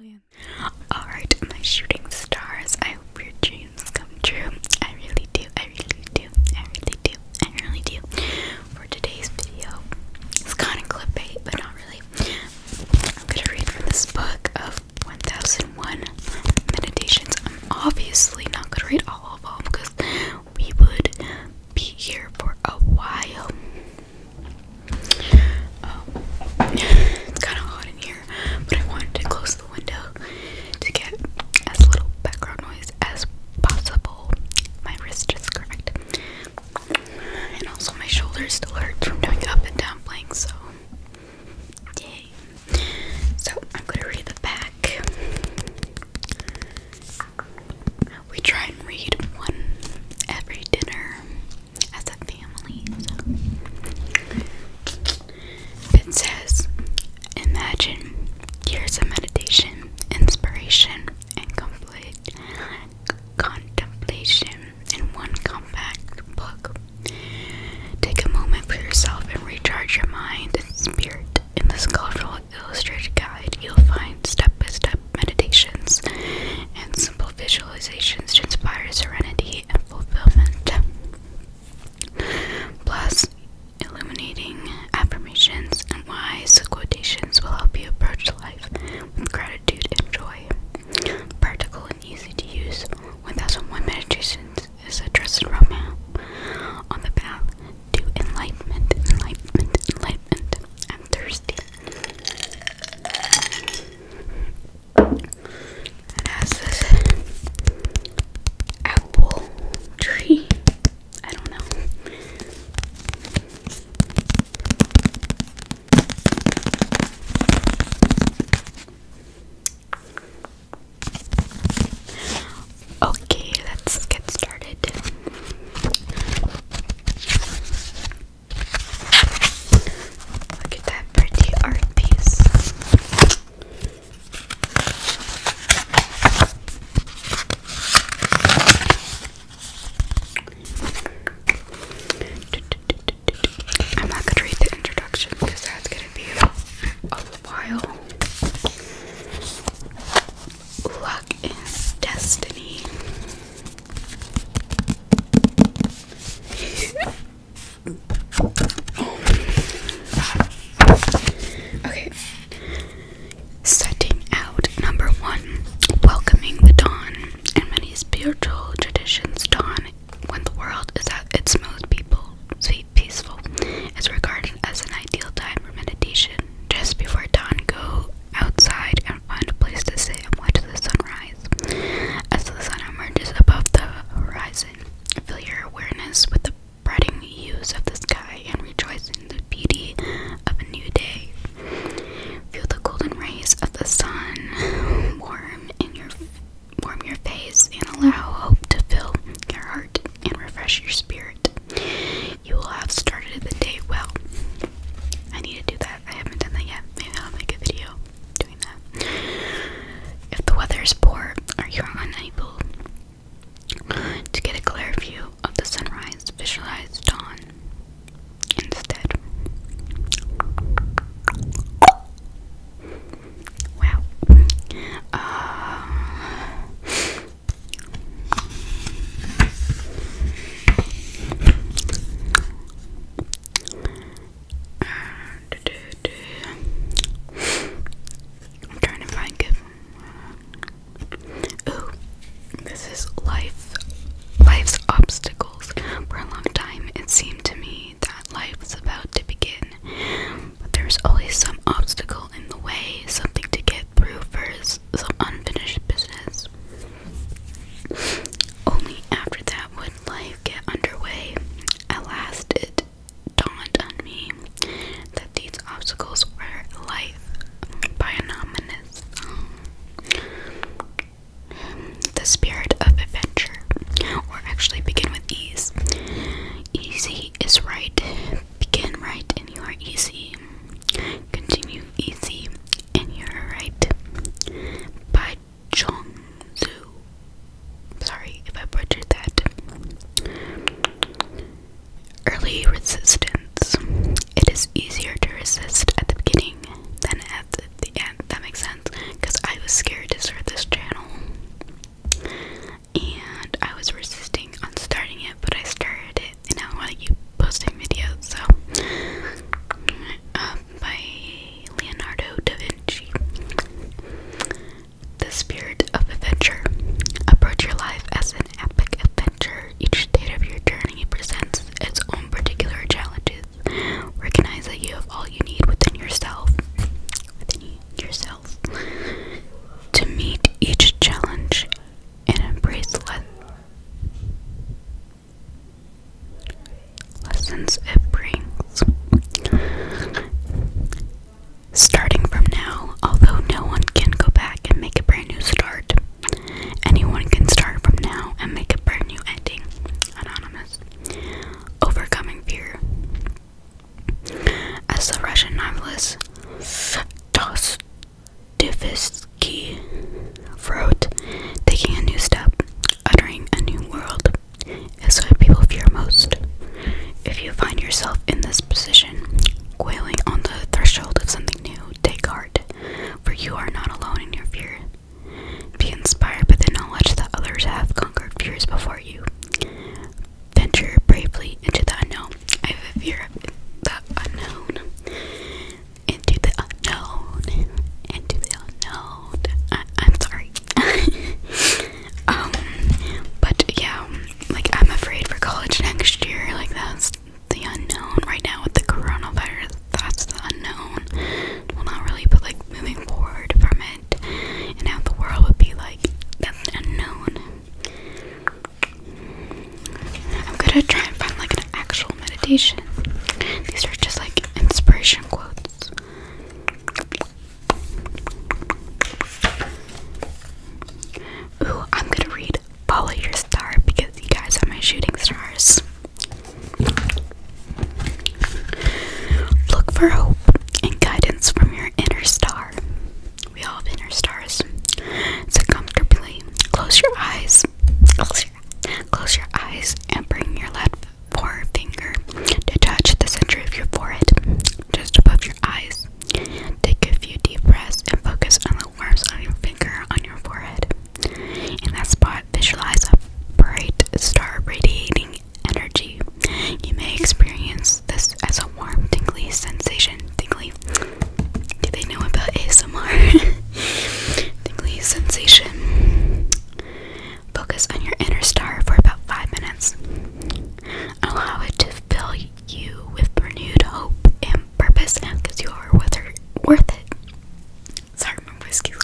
Oh I did Alright, shooting stars. I hope your dreams come true. I really do. I really do. I really do. I really do. For today's video, it's kind of clip bait, but not really. I'm gonna read from this book of 1001 Meditations. I'm obviously not gonna read all of them because we would be here for a while. Um, it's kind of hot in here, but I wanted to close the window to get as little background noise as possible. My wrist just cracked, and also my shoulder still hurts from doing up and down planks. So, yay! So I'm gonna read the back. We try and read one every dinner as a family. So. It says, Imagine years of meditation, inspiration, and complete contemplation in one compact book. Take a moment for yourself and recharge your mind and spirit in this colorful illustrated guide, you'll find step by step meditations and simple visualizations to inspire serenity and fulfillment. Plus, illuminating affirmations and wise quotations will help you approach life with gratitude and joy. Practical and easy to use, 1001 meditations is a dress romance uh, on the path to enlightenment, enlightenment, enlightenment. I'm thirsty. It this apple tree. I don't know. Okay, let's get started. Look at that pretty art piece. I'm not gonna read the introduction because that's gonna be Luck and destiny. okay. Setting out number one, welcoming the dawn. In many spiritual traditions, dawn, when the world is at its most, people, peaceful. It's regarded as an ideal time for meditation. Just before dawn, go outside and find a place to sit and watch the sunrise. As the sun emerges above the horizon, fill your awareness with the spreading hues of the sky and rejoice in the beauty of a new day. Feel the golden rays of the sun warm in your warm your face and allow hope to fill your heart and refresh your spirit. You will have started the day well. I need to do that. I haven't done that yet. Maybe I'll make a video doing that. If the weather is poor or you're unable to get a clear view of the sunrise, visualize dawn instead. Wow. Uh, I'm trying to find good. Oh, this is life. Life's obstacles. For a long time, it seemed to me that life was about to begin. But there's always some obstacle in the way, something to get through first, some unfinished business. Only after that would life get underway. At last, it dawned on me that these obstacles were life by anonymous. The spirit of adventure, or actually begin with ease. Easy is right. Begin right and you are easy. Continue easy and you are right. By Chong Sorry if I butchered that. Early resistance. It is easier to resist at the beginning than at the end. That makes sense because I was scared to start this channel and I was resisting on starting it, but I started it, and now I want to keep posting videos. So, uh, by Leonardo da Vinci, the spirit of adventure. Approach your life as an epic adventure. Each state of your journey presents its own particular challenges. Recognize that you have all you need within yourself. Within yourself to meet each challenge and embrace le lessons it brings. Starting from now, although no one can go back and make a brand new start, anyone can start from now and make a brand new ending. Anonymous. Overcoming fear. As the Russian novelist Dostoevsky wrote, taking a new step, uttering a new world, is what people fear most. If you find yourself in this position, quailing on the threshold of something new, take heart, for you are not alone in your fear. Be inspired by the knowledge that others have conquered fears before you venture bravely into the unknown. I have a fear of the unknown. Into the unknown. Into the unknown. I am sorry. um, but yeah, like I'm afraid for college next year. Like that's the unknown right now with the coronavirus. That's the unknown. Well, not really, but like moving forward from and how the world would be like unknown. I'm gonna try and find like an actual meditation. These are just like inspiration quotes. Ooh, I'm gonna read Follow Your Star because you guys are my shooting stars. Look for hope and guidance from your inner star. We all have inner stars. So comfortably close your eyes. Close your, eyes and bring your left forefinger to touch the center of your forehead, just above your eyes. Take a few deep breaths and focus on the warmth of your finger on your forehead. In that spot, visualize a bright star radiating energy. You may experience this as a warm, tingly sensation. Tingly. Do they know about ASMR? tingly sensation. Focus on your inner star for about five minutes. Allow it to fill you with renewed hope and purpose because you are worth it. Sorry, my voice You're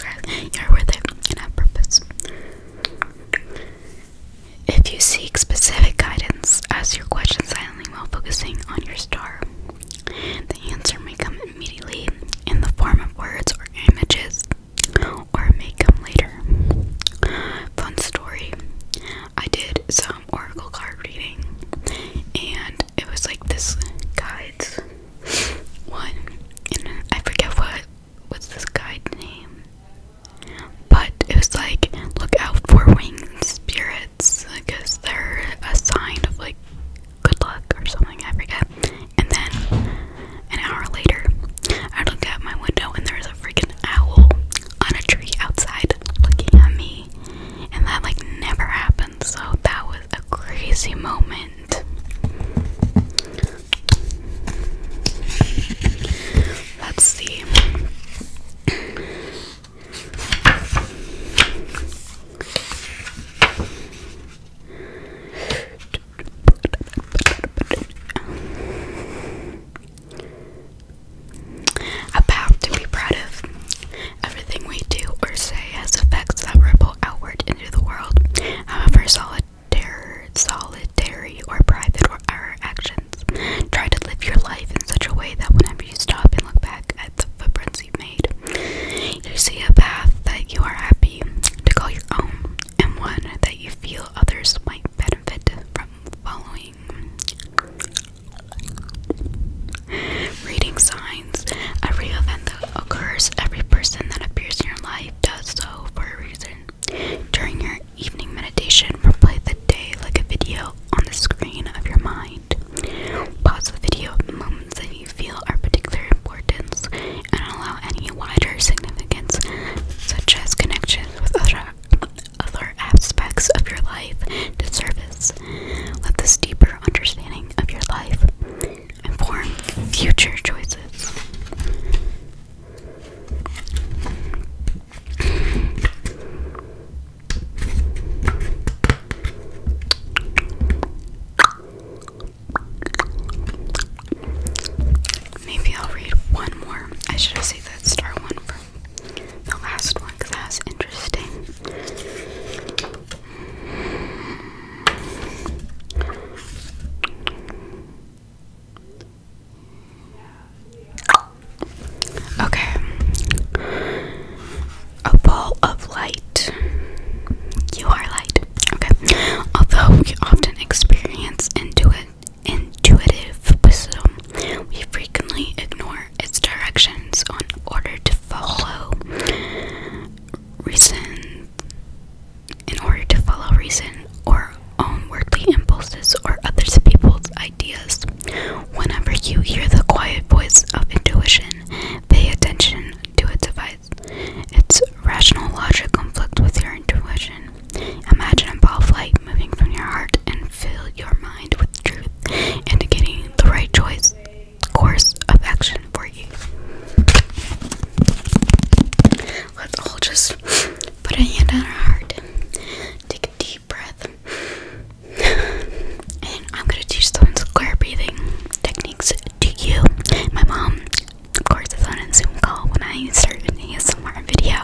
worth it and have purpose. If you seek specific guidance, ask your question silently while focusing on your star. The answer may come immediately in the form of words or images, or it may come later. Fun story I did some oracle card reading, and it was like this guides one, and I forget what what's this guy's name? But it was like, look out for winged spirits because they're a sign of like good luck or something, I forget. And then an hour later, I look out my window and there's a freaking owl on a tree outside looking at me. And that like never happened, so that was a crazy moment. Let's see. About to be proud of. Everything we do or say has effects that ripple outward into the world. However, solid terror, solitary, or private or our actions. Try to live your life in such a way that whenever you stop and look back at the footprints you've made, you see a path that you are happy to call your own and one that you feel others might benefit from following. Reading signs. Every event that occurs, every person that appears in your life does so for a reason. During your evening meditation, replay the day like a video on the screen of your mind. Pause the video at moments that you feel are particularly important, and allow any wider significance, such as connections with other, other aspects of your life, to surface. Let this deeper understanding of your life inform future choices. Maybe I'll read one more. I should have saved that star one for the last one because that's interesting. Okay. A ball of light. You are light. Okay. Although we often experience intuit intuitive wisdom, we frequently ignore its directions in order to follow reason in order to follow reason or own worldly impulses or other people's ideas. Whenever you hear the quiet voice of intuition, pay attention to its advice. Its rational logic conflict with your intuition. Imagine a ball of light moving from your heart and fill your mind with truth, indicating the right choice course of action for you. Let's all just put a hand on our heart. Take a deep breath. And I'm gonna teach someone square breathing techniques to you. My mom, of course, is on a Zoom call when I started an ASMR video.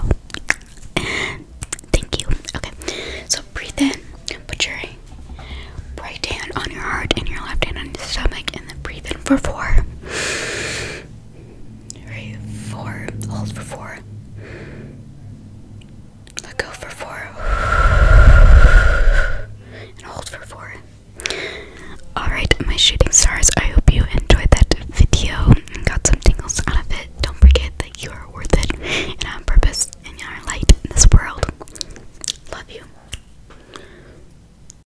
Thank you. Okay, so breathe in. Put your right hand on your heart and your left hand on your stomach, and then breathe in for four. Right, four. Hold for four. Let go for four. And hold for four. Alright, my shooting stars, I hope you enjoyed that video and got some tingles out of it. Don't forget that you are worth it and on purpose and you are light in this world. Love you.